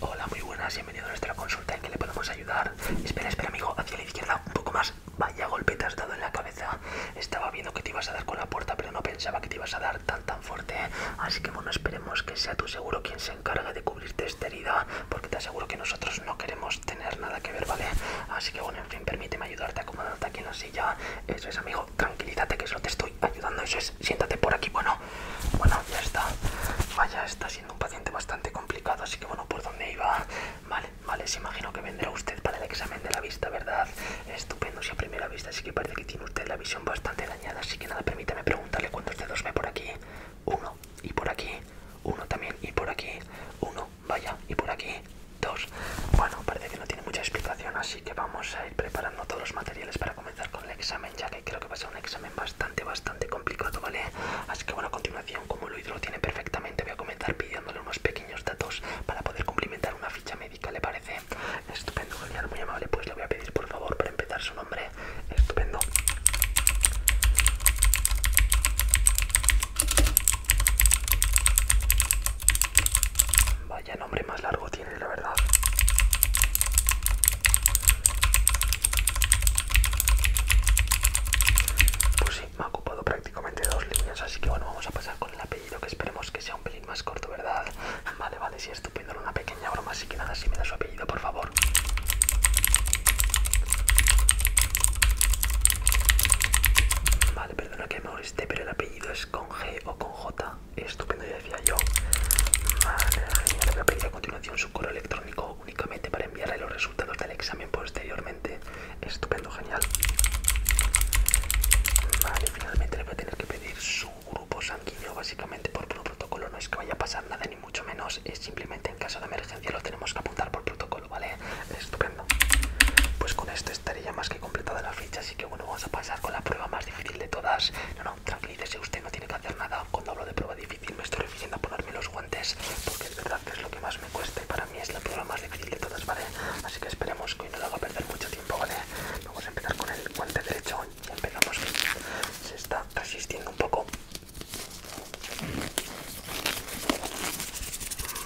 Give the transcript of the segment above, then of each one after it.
Hola, muy buenas, bienvenido a nuestra consulta. ¿En que le podemos ayudar? Espera, espera, amigo, hacia la izquierda, un poco más. Vaya golpe te has dado en la cabeza. Estaba viendo que te ibas a dar con la puerta, pero no pensaba que te ibas a dar tan tan fuerte. Así que bueno, esperemos que sea tu seguro quien se encargue de cubrirte esta herida, porque te aseguro que nosotros no queremos tener nada que ver, ¿vale? Así que bueno, en fin, permíteme ayudarte a acomodarte aquí en la silla. Eso es, amigo, tranquilízate que solo te estoy ayudando. Eso es, siéntate por aquí. Bueno, bueno, ya está. Vaya, está siendo un paciente bastante complicado. Así que bueno, por dónde iba. Vale, vale, se imagino que vendrá usted para el examen de la vista, ¿verdad? Estupendo, si a primera vista. Así que parece que tiene usted la visión bastante dañada. Así que nada, permítame preguntarle cuántos dedos ve por aquí. Uno, y por aquí. Uno también, y por aquí. Uno, vaya, y por aquí. Dos. Bueno, parece que no tiene mucha explicación, así que vamos a ir preparando todos los materiales para comenzar con el examen ya que creo que va a ser un examen bastante, bastante complicado, ¿vale? Así que bueno, a continuación, como Luis lo tiene perfectamente, voy a comenzar pidiéndole unos pequeños datos para poder cumplimentar una ficha médica, ¿le parece? Estupendo, genial, muy amable, pues le voy a pedir por favor para empezar su nombre. Estupendo. Vaya nombre más largo tiene, la verdad. Pues sí, me ha ocupado prácticamente dos líneas, así que bueno, vamos a pasar con el apellido, que esperemos que sea un pelín más corto, ¿verdad? Vale, vale, sí, estupendo, una pequeña broma, así que nada, si me da su apellido, por favor. Vale, perdona que me moleste, pero el apellido es con G o con J estupendo, ya decía yo. Vale, genial. Le voy a pedir a continuación su correo electrónico únicamente para enviarle los resultados del examen posteriormente. Estupendo, genial. Vale, finalmente le voy a tener que pedir su grupo sanguíneo, básicamente por protocolo. No es que vaya a pasar nada, ni mucho menos. Es simplemente en caso de emergencia lo tenemos que apuntar por protocolo, ¿vale? Estupendo. Pues con esto estaría más completada la ficha, así que bueno, vamos a pasar con la prueba más difícil de todas. No, no, tranquilícese, usted no tiene que hacer nada. Cuando hablo de prueba difícil me estoy refiriendo a ponerme los guantes, porque es verdad que es lo que más me cuesta para mí es la prueba más difícil de todas, ¿vale? Así que esperemos que hoy no le haga perder mucho tiempo, ¿vale? Vamos a empezar con el guante derecho y empezamos. Se está resistiendo un poco.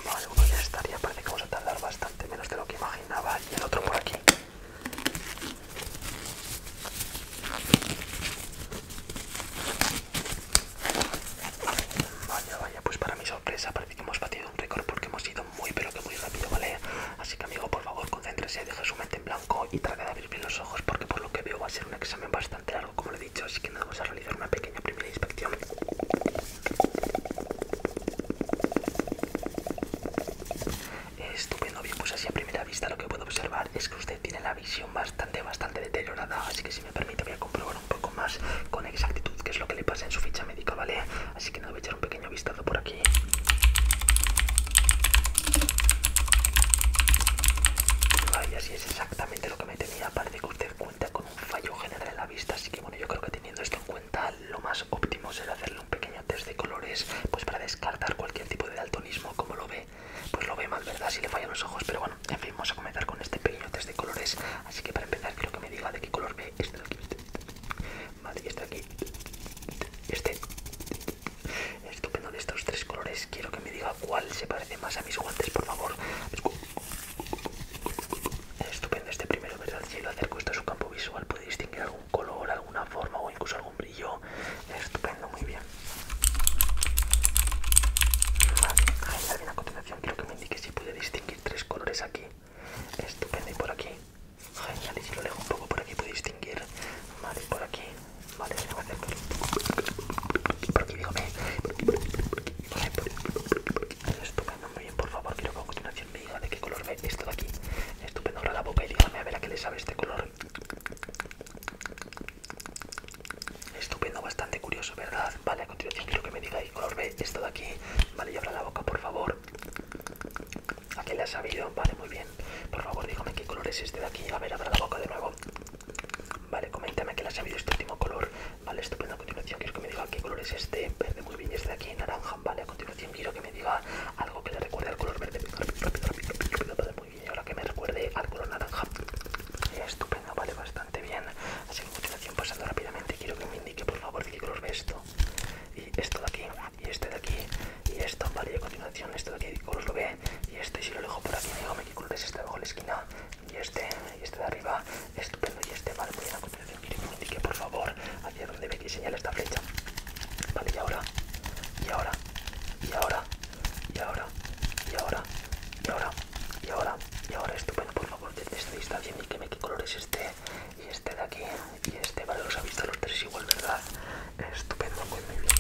Vale, bueno, ya estaría, parece que vamos a tardar bastante menos de lo que imaginaba y el otro por aquí. Vaya, vaya, pues para mi sorpresa parece que hemos batido un récord porque hemos ido muy pero que muy rápido, ¿vale? Así que amigo, por favor, concéntrese, deje su mente en blanco y trate de abrir bien los ojos porque por lo que veo va a ser un examen bastante largo, como lo he dicho, así que nada, vamos a realizar una pequeña primera inspección. Estupendo, bien, pues así a primera vista lo que puedo observar es que usted tiene la visión bastante, bastante deteriorada, así que si me permite voy a comprobar un poco más con exactitud qué es lo que le pasa en su ficha médica, ¿vale? Así que no, voy a echar un pequeño vistazo por aquí. Vaya, así es exactamente lo que me tenía, parece que usted cuenta con un fallo general en la vista, así que bueno, yo creo que teniendo esto en cuenta lo más óptimo será hacerle un pequeño test de colores, pues para descartar cualquier tipo de daltonismo, como lo ve, pues lo ve mal, ¿verdad? Si le fallan los ojos, pero bueno, en fin, a comenzar con este pequeño test de colores, así que para empezar quiero que me diga de qué color ve este de aquí, este aquí, este, estupendo de estos tres colores, quiero que me diga cuál se parece más a mis guantes, por favor, estupendo este primero, ¿verdad? Si lo acerco esto a su campo visual puede distinguir algún color, alguna forma o incluso algún brillo. estupendo, muy bien. Vale, bien a continuación quiero que me indique si puede distinguir tres colores aquí. Estupendo, y por aquí. Genial, y si lo alejo un poco por aquí puede distinguir. Vale, por aquí. Vale, se lo voy a hacer por aquí. aquí, dígame. por aquí, por aquí, por aquí. Estupendo, muy bien, por favor, quiero que a continuación me diga de qué color ve esto de aquí. Estupendo, ahora la boca y dígame a ver a qué le sabe este color. Estupendo, bastante curioso, ¿verdad? Vale, a continuación quiero que me diga qué color ve esto de aquí. Vale, y abra la boca, por favor. ¿A qué le ha sabido? Vale, muy bien. Por favor, dígame qué color es este de aquí. A ver, abra la boca de nuevo. Vale, coméntame a qué le ha sabido este último color. Vale, estupendo. A continuación quiero que me diga qué color es este. Verde, muy bien. Este de aquí, naranja. Vale, a continuación quiero que me diga algo que le recuerde al color verde. Rápido, rápido, rápido, rápido. Vale, muy bien. Y ahora que me recuerde al color naranja. Estupendo, vale, bastante bien. Así que a continuación, pasando rápidamente, quiero que me indique, por favor, de qué color ve esto. Y esto de aquí, y este de aquí, y esto, vale, y a continuación, esto de aquí, color lo ve. Y este, si lo dejo por aquí, dígame qué color es este de abajo en la esquina. Y este, y este de arriba estupendo y este vale muy bien acompañado miren me indique por favor hacia donde veis que señala esta flecha vale y ahora y ahora y ahora y ahora y ahora y ahora y ahora y ahora estupendo por favor desde esta vista bien Dígame qué color es este y este de aquí y este vale los ha visto los tres igual verdad estupendo muy, pues muy bien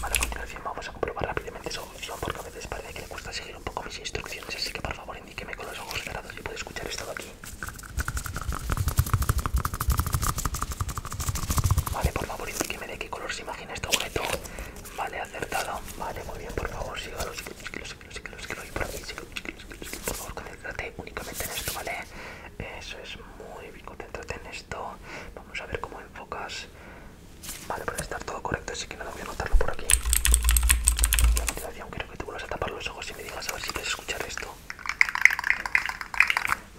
vale a continuación vamos a comprobar rápidamente eso porque a veces parece que le cuesta seguir un poco mis instrucciones, así que por favor indíqueme con los ojos cerrados si puede escuchar esto de aquí. Vale, por favor indíqueme de qué color se imagina este objeto. Vale, acertado. Vale, muy bien, por favor, sígalo, sígalo, sígalo, sígalo, sígalo, y por aquí, sígalo, sígalo, sígalo, sígalo. Por favor, concéntrate únicamente en esto, ¿vale? Eso es muy bien, concéntrate en esto. Vamos a ver cómo enfocas. Vale, puede estar todo correcto, así que nada, voy a anotarlo por aquí. Y a continuación quiero que tú vuelvas a tapar los ojos y me digas a ver si quieres escuchar esto.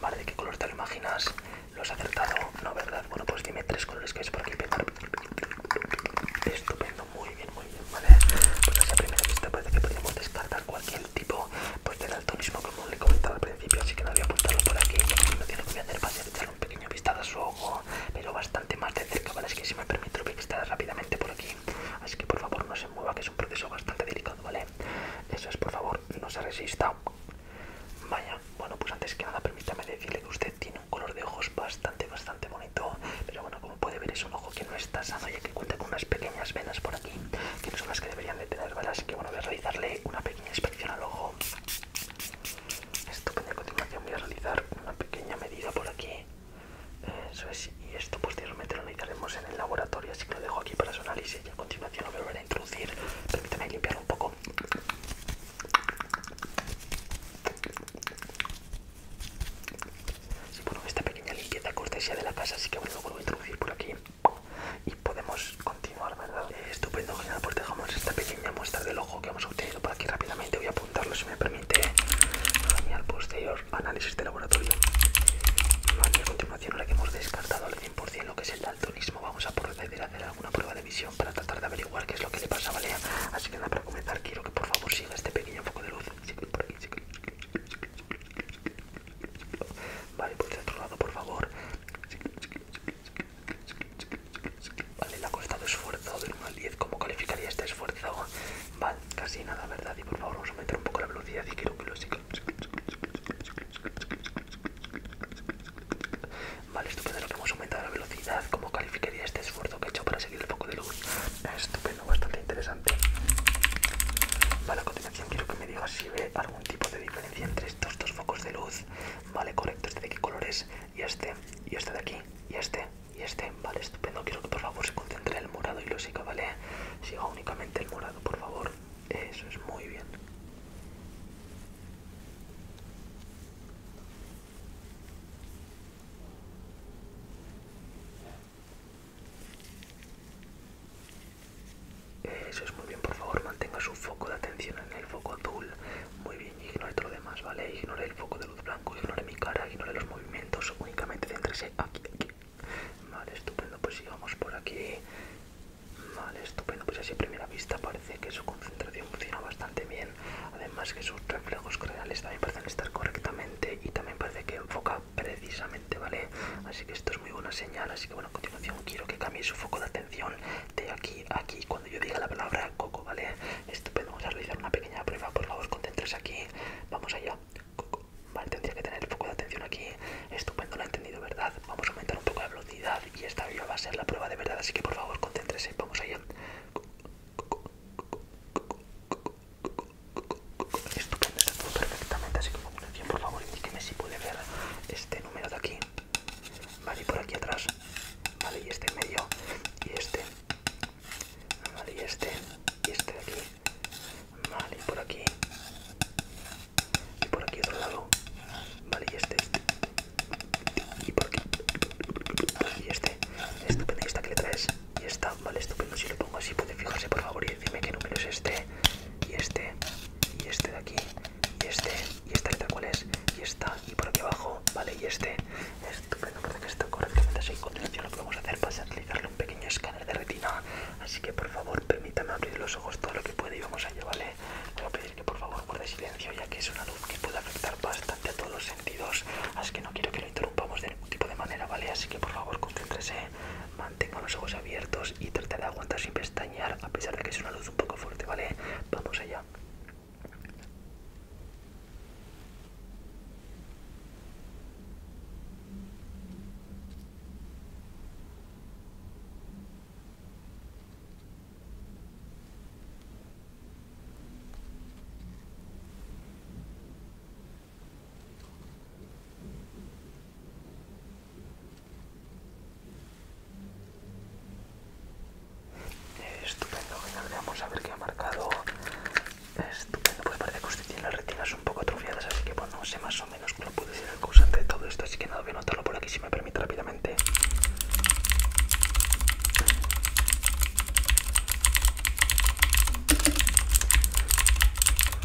Vale, ¿de qué color te lo imaginas? ¿Lo has acertado? No, ¿verdad? Bueno, pues dime tres colores que es por aquí Estupendo, muy bien, muy bien, ¿vale? Pues a a primera vista parece que podríamos descartar cualquier tipo pues, de mismo como le comentaba al principio, así que no voy a apuntarlo por aquí. No tiene que a hacer va un pequeño vistazo a su ojo, pero bastante más de cerca, ¿vale? es que si me permito lo voy a rápidamente por aquí. Así que por favor no se mueva, que es un proceso bastante delicado, ¿vale? Eso es, por favor, no se resista. Vaya, bueno, pues antes que nada permítame decirle que usted tiene un color de ojos bastante, bastante bonito. Pero bueno, como puede ver es un ojo que no está sano ya que cuenta con unas pequeñas venas por aquí, que no son las que deberían de tener, ¿vale? Así que bueno, voy a realizarle una pequeña inspección al ojo. Estupendo, a continuación voy a realizar una pequeña medida por aquí. y esto posteriormente lo analizaremos en el laboratorio, así que lo dejo aquí para su análisis y a continuación lo volveré a introducir. Permítame limpiar un poco. Sí, bueno, esta pequeña limpieza cortesía de la casa, así que bueno, lo vuelvo a introducir por aquí y podemos continuar, ¿verdad? Eh, estupendo, genial, pues dejamos esta pequeña muestra del ojo que hemos obtenido por aquí rápidamente. Voy a apuntarlo si me permite. Genial, posterior análisis de laboratorio. Vale, a continuación, ahora que hemos descartado al 100% lo que es el daltonismo, vamos a proceder a hacer alguna prueba de visión para tratar de averiguar qué es lo que le pasa, ¿vale? Así que nada, para comenzar, quiero que por favor siga este pequeño foco de luz. Vale, por pues el otro lado, por favor. Vale, le ha costado esfuerzo del 1 al 10. ¿Cómo calificaría este esfuerzo? Vale, casi nada, ¿verdad? Y por favor, vamos a aumentar un poco la velocidad y quiero que lo siga. Vale, estupendo lo que hemos aumentado la velocidad. ¿Cómo calificaría este esfuerzo que he hecho para seguir el foco de luz? Estupendo, bastante interesante. Vale, a continuación quiero que me digas si ve algún tipo de diferencia entre estos dos focos de luz, vale, correcto, este de qué colores y este, y este de aquí, y este, y este, vale, estupendo, quiero que por favor se concentre el morado y lo siga, vale, siga únicamente el morado, por favor, eso es muy bien. Eso es muy bien, por favor, mantenga su foco de atención en el foco azul. Muy bien, ignore todo lo demás, ¿vale? Ignore el foco de luz blanco, ignore mi cara, ignore los movimientos, únicamente céntrese aquí, aquí. Vale, estupendo, pues sigamos por aquí. Vale, estupendo, pues así a primera vista parece que su concentración funciona bastante bien. Además que sus reflejos creales también parecen estar correctamente y también parece que enfoca precisamente ¿vale? Así que esto es muy buena señal, así que bueno, a continuación quiero que cambie su foco de atención de aquí a aquí cuando yo diga la palabra coco, ¿vale? Estupendo, vamos a realizar una pequeña prueba, por favor, concéntrese aquí, vamos allá, coco, vale, tendría que tener el foco de atención aquí, estupendo, lo he entendido, ¿verdad? Vamos a aumentar un poco la velocidad y esta ya va a ser la prueba de verdad, así que por favor, concéntrese, vamos allá. coco, estupendo, está todo perfectamente, así que por favor indíqueme si puede ver este número de aquí, vale, y por aquí atrás, vale, y este en medio, y este, vale, y este, y este de aquí, vale, y por aquí, y por aquí otro lado, vale, y este, este. y por aquí, y este, estupendo, y esta que le traes, y esta, vale, estupendo, si lo pongo así puede fijarse por favor y dime qué número es este, y este, y este de aquí, y este, y esta cuál es, y esta, y por aquí abajo, vale, y este. Estupendo, que está correctamente así. Continuación lo que vamos a hacer para utilizarle un pequeño escáner de retina. Así que por favor permítame abrir los ojos todo lo que pueda y vamos allá, ¿vale? Voy a pedir que por favor guarde silencio ya que es una luz que puede afectar bastante a todos los sentidos. Así que no quiero que lo interrumpamos de ningún tipo de manera, ¿vale? Así que por favor concéntrese. Mantenga los ojos abiertos y trate de aguantar sin pestañear a pesar de que es una luz un poco fuerte, ¿vale? Vamos allá. Estupendo, vamos a ver qué ha marcado. Estupendo, Puede parece que usted tiene las retinas un poco atrofiadas, así que bueno, sé más o menos cómo puede ser el causante de todo esto, así que nada, voy a anotarlo por aquí si me permite rápidamente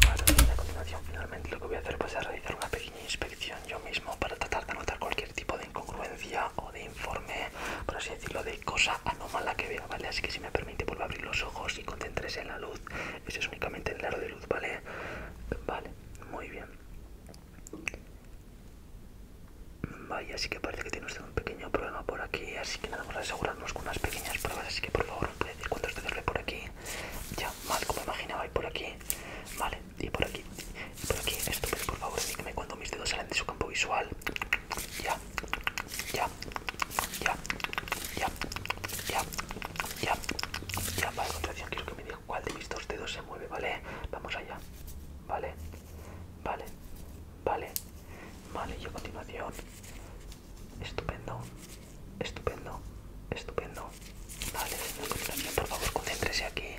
a continuación finalmente lo que voy a hacer pues, es realizar una pequeña inspección yo mismo para tratar de anotar cualquier tipo de incongruencia o de informe, por así decirlo, de cosa anómala que vea, ¿vale? Así que si me permite, vuelvo a abrir los ojos y concéntrese en la luz. Eso es únicamente el aro de luz, ¿vale? Vale, muy bien. Vaya, así que parece que tiene usted un pequeño pequeño problema por aquí, así que nada, vamos a asegurarnos con unas pequeñas pruebas, así que por favor me puede decir cuándo veces ve por aquí. Ya, mal, como imaginaba, y por aquí, vale, y por aquí, por aquí, esto por favor, dígame cuando mis dedos salen de su campo visual. Ya, ya, ya, ya, ya, ya, ya, vale, ya quiero que me diga cuál de mis dos dedos se mueve, ¿vale? Vamos allá, ¿vale? Vale, vale, vale, y a continuación, Estupendo, estupendo, estupendo. Vale, por favor, concéntrese aquí.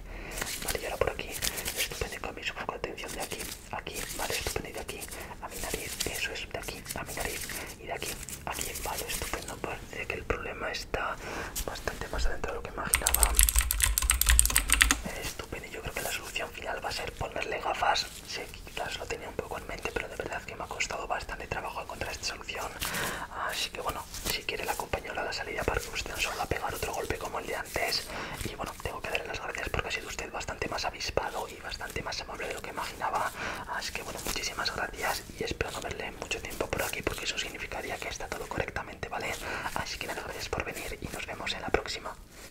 Vale, y ahora por aquí. Estupendo, cambio su foco atención de aquí, aquí, vale, estupendo, y de aquí, a mi nariz, eso es, de aquí, a mi nariz, y de aquí, aquí, vale, estupendo. Parece que el problema está bastante más adentro de lo que imaginaba. Estupendo, y yo creo que la solución final va a ser ponerle gafas Sí, quizás lo tenía un poco en mente, pero de verdad que me ha costado bastante trabajo encontrar esta solución. Así que bueno, si quiere la acompaño a la salida para que usted no solo a pegar otro golpe como el de antes. Y bueno, tengo que darle las gracias porque ha sido usted bastante más avispado y bastante más amable de lo que imaginaba. Así que bueno, muchísimas gracias y espero no verle mucho tiempo por aquí porque eso significaría que está todo correctamente, ¿vale? Así que nada, gracias por venir y nos vemos en la próxima.